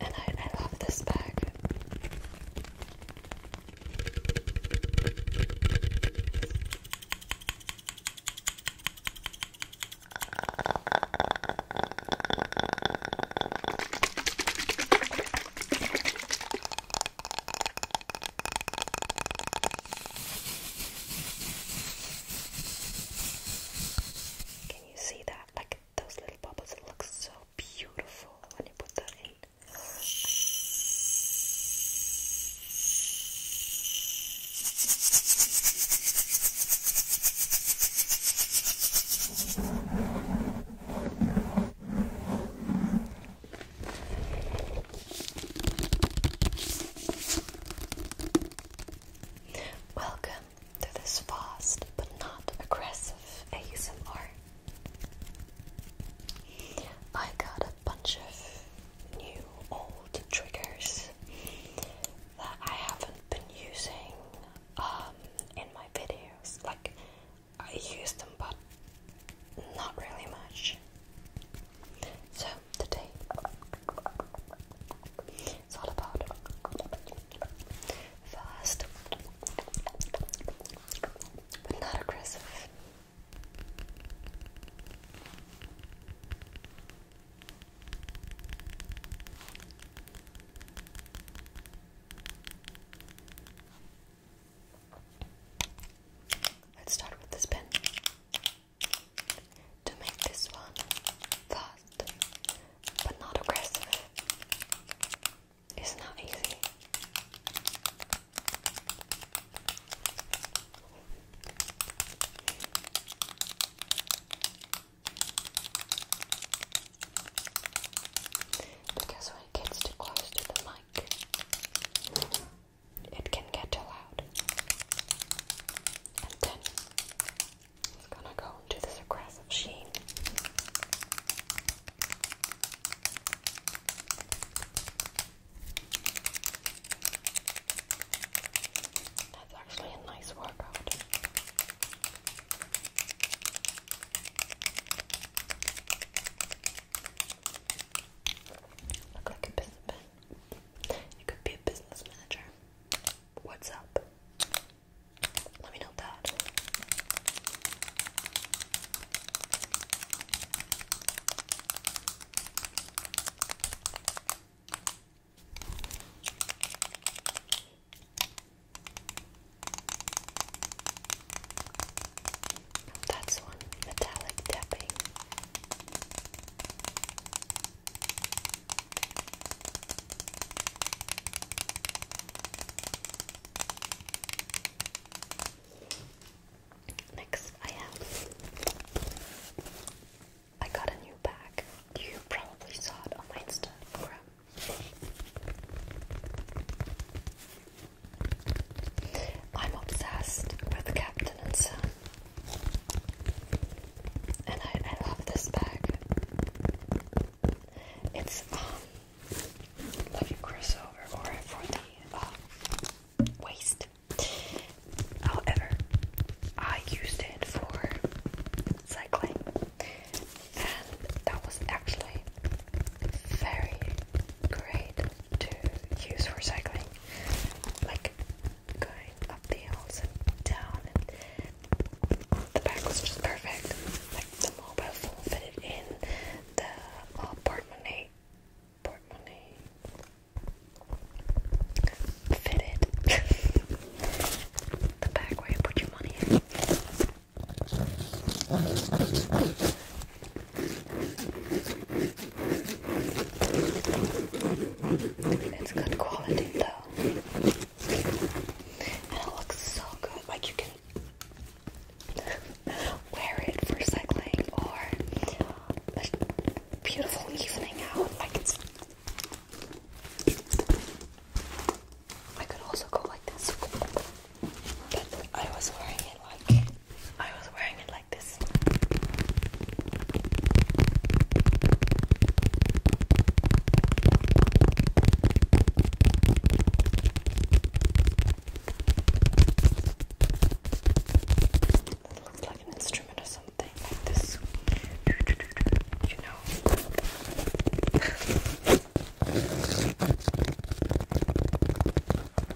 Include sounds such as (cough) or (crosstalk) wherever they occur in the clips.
And I, love this bag. Can you see that? Like those little bubbles, it looks so beautiful when you put that in. Welcome to this fast but not aggressive ASMR. I got a bunch of new old triggers that I haven't been using um, in my videos. Like, I use them, but not really much. So today it's all about fast but not aggressive. Let's start with this pen to make this one fast but not aggressive is not easy. Because when it gets too close to the mic, it can get too loud. And then it's gonna go into this aggressive sheen. That's actually a nice workout. Look like a piece of you could be a business manager. What's up? Let me know that. That's one metallic tapping. Next, I have. I got a new bag. You probably saw it on Instagram. I'm obsessed with Captain and Son. And I, love this bag. It's um like a crossover for the um, waist. However, I used it for cycling, and that was actually very great to use for cycling like going up the hills and down, and the bag was just perfect. Like the mobile phone fitted in, the uh, portmonnaie, portmonnaie fitted. (laughs) the bag where you put your money in. It's good quality though. And it looks so good. Like you can wear it for cycling or a beautiful evening out. Like I could also go like this. But I was wearing it like I was wearing it like this. looks like an instrument or something, like this. You know. (laughs)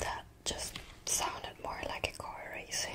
That just sounded more like a car racing.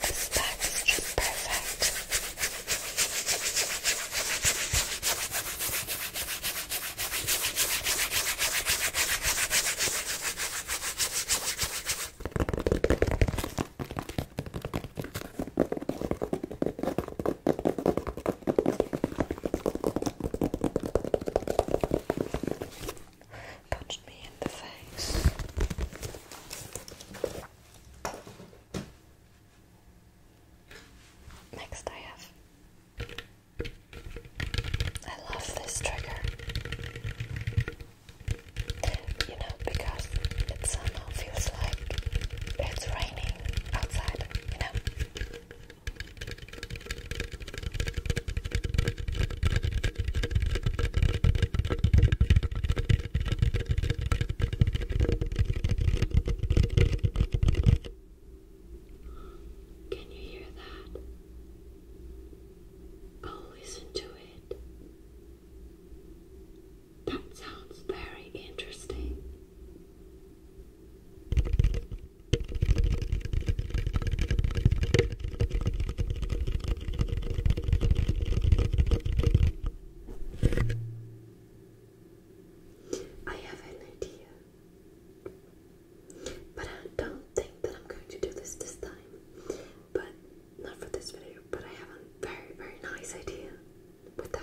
This bag is just perfect punched me in the face. Next, I have. I love this trigger. You know, because it somehow feels like it's raining outside, you know? Can you hear that? Oh, listen to it. That sounds very interesting. I have an idea. But I don't think that I'm going to do this this time. But not for this video, but I have a very, very nice idea with that.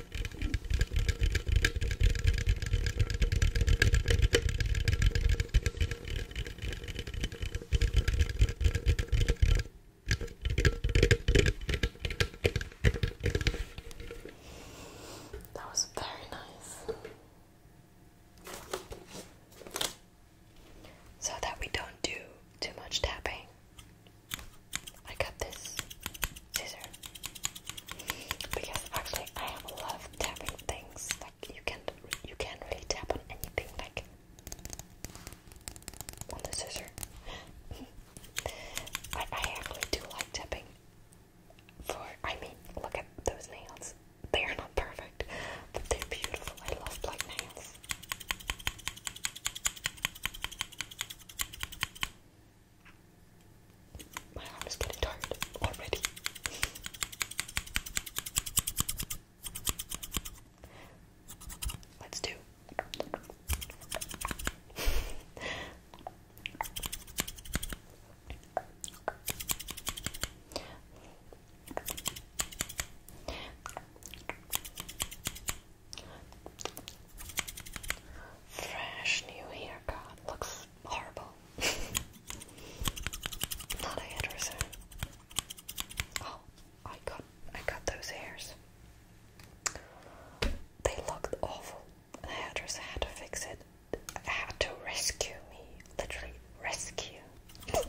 That was very nice. So that we don't do too much tapping, I got this scissor. Because actually, I love tapping things. Like you can't, you can't really tap on anything. Like on the scissor. (laughs) I, I actually do like tapping. For I mean, look at those nails. They are not perfect, but they're beautiful. I love black nails. My arm is getting tired already. Let's do. Fresh new haircut looks horrible. (laughs) Not a hairdresser. Oh, I got I got those hairs. They looked awful. The hairdresser had to fix it. had to rescue me. Literally rescue. (laughs) I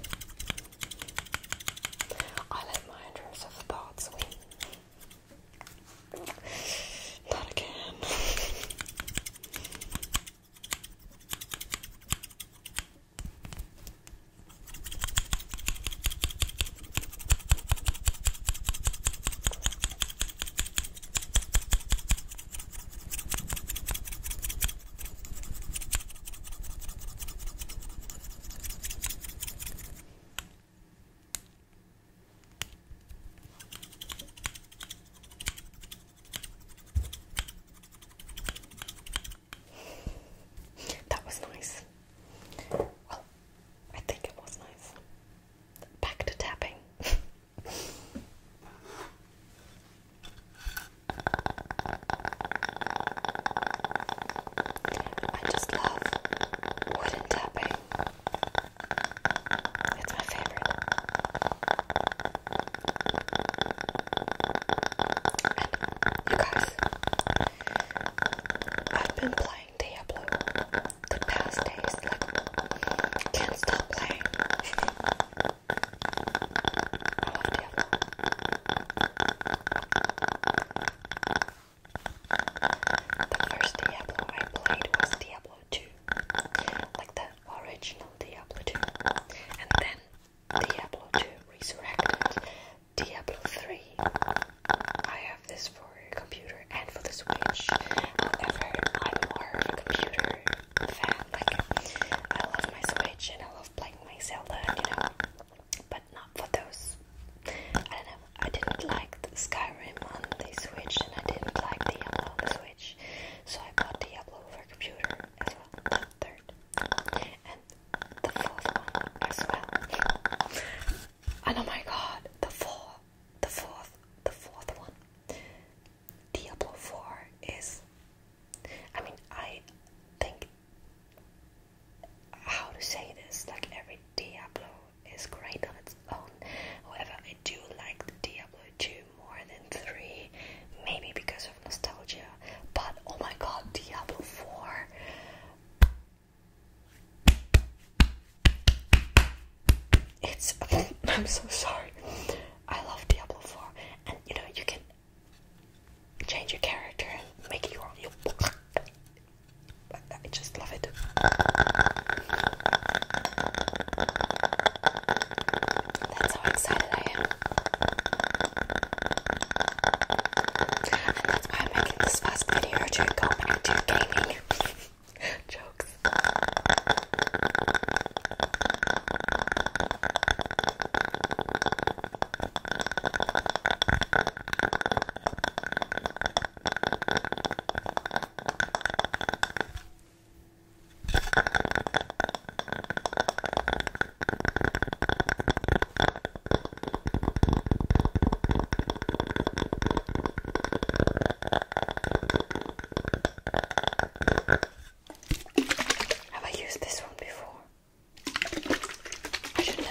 let my hairdresser for win. Not again. That was nice. Well, I think it was nice. Back to tapping. (laughs) I just love wooden tapping. It's my favorite. you guys, I've been playing Diablo the past days. Like, can't stop playing. The first Diablo I played was Diablo 2, like the original Diablo 2, and then Diablo 2 Resurrected, Diablo 3. I have this for computer and for the Switch. However, I'm more of computer fan. I love my Switch and I love playing my Zelda, you know, but not for those. I don't know, I didn't like the Skyrim Paramount they switched and I didn't like Diablo Switch. So I bought Diablo for computer as well. Third. And the fourth one as well. And oh my god, the fourth, the fourth, the fourth one. Diablo 4 is I mean I think how to say this, like every Diablo is great on its own. However, I do like the Diablo 2 more than 3, maybe because of nostalgia. But oh my god, Diablo 4! It's. (laughs) I'm so sorry. I love Diablo 4, and you know, you can change your character and make your. your (laughs) I just love it it. That's how excited I am. And that's why I'm making this fast video during comedy to gaming (laughs) jokes. Have I used this one before? I should know.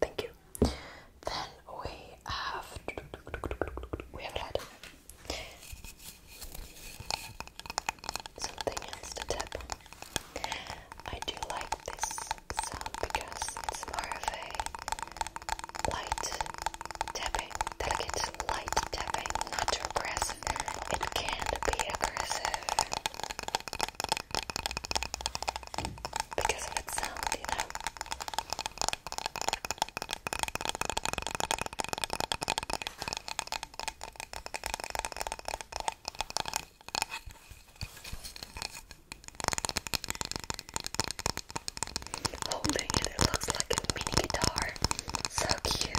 thank you. Then we have we have had something else to tap. I do like this sound because it's more light tapping, delicate light tapping, not aggressive. It can be aggressive because of its sound, you know. Holding it, it looks like a mini guitar. So cute.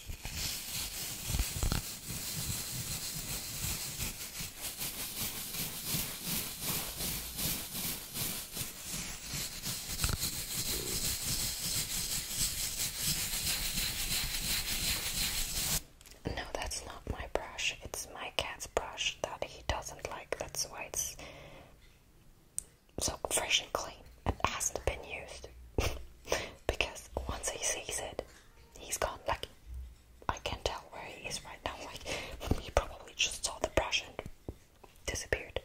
No, that's not my brush. It's my cat's brush that he doesn't like. That's why it's so fresh and clean. It hasn't been used (laughs) because once he sees it, he's gone. Like, I can't tell where he is right now. Like, he probably just saw the brush and disappeared.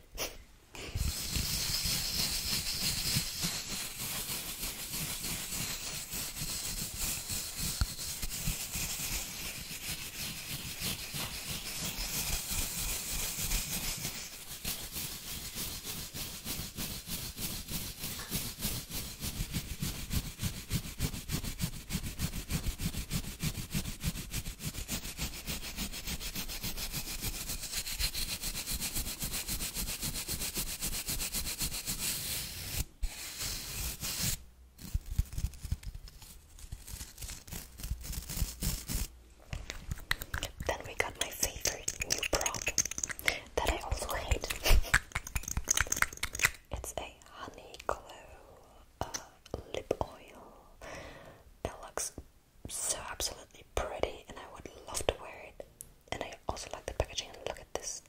Then we got my favorite new prop that I also hate. (laughs) It's a honey glow uh, lip oil. It looks so absolutely pretty, and I would love to wear it. And I also like the packaging. And look at this.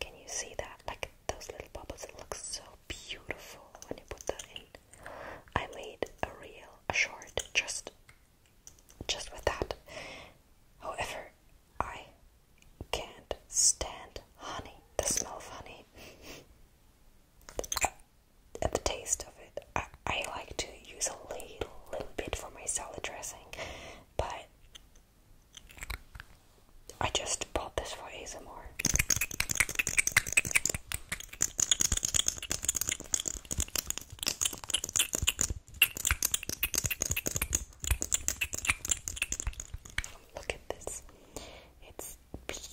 Can you see that? Like those little bubbles. It looks so beautiful when you put that in. I made a real a short, just, just with that. However, I can't stand honey, the smell of honey, and the taste of it. I, I like to use a little, bit for my salad dressing, but I just bought this for ASMR. Look at this. It's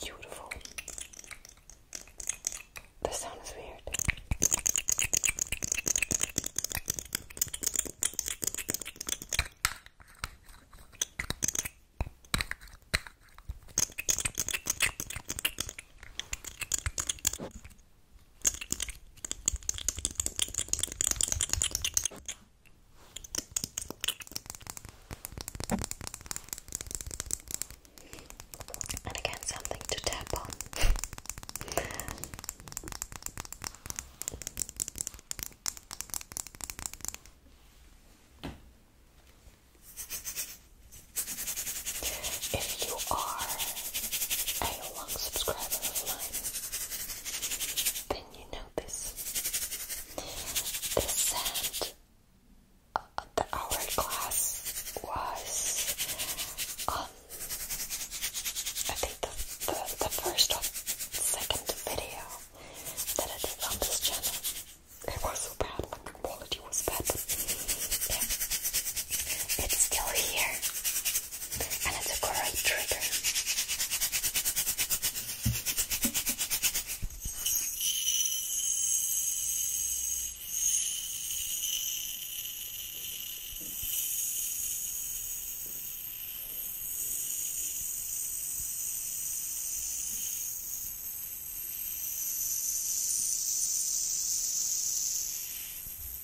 beautiful. The sound is weird. And again, something to tap on. If you are a long subscriber of mine, then you know this. The sand the hourglass was, um, I think the, the, the first or second video that I did on this channel. It was so bad, the quality was bad. It's still here and it's a great trigger.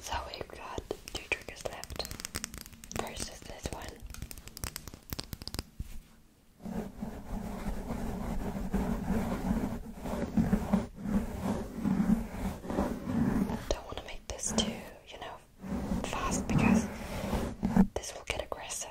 So we've got two triggers left versus this one. Don't want to make this too, you know, fast because this will get aggressive.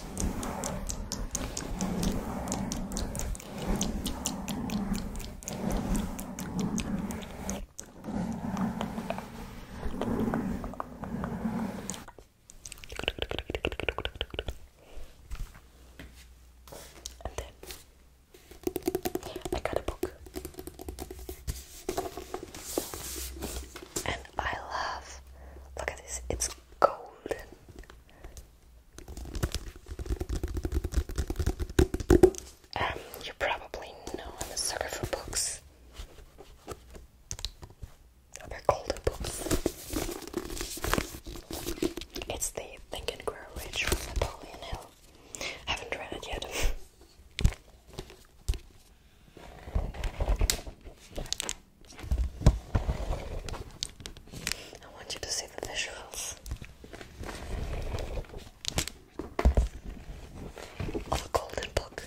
And then I got a book, and I love. Look at this, it's golden. Um, you probably know I'm a sucker for books. They're golden books. It's the Think and Grow Rich from Napoleon Hill. haven't read it yet. (laughs) I want you to see the visuals of a golden book.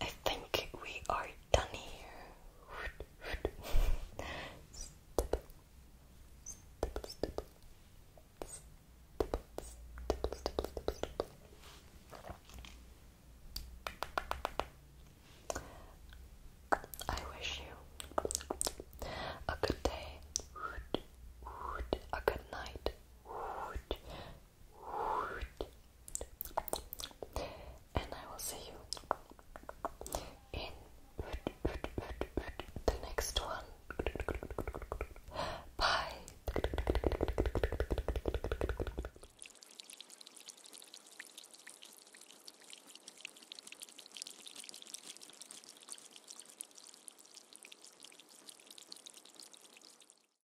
I think we are done here. I wish you a good day, a good night, and I will see you in the next one. Bye.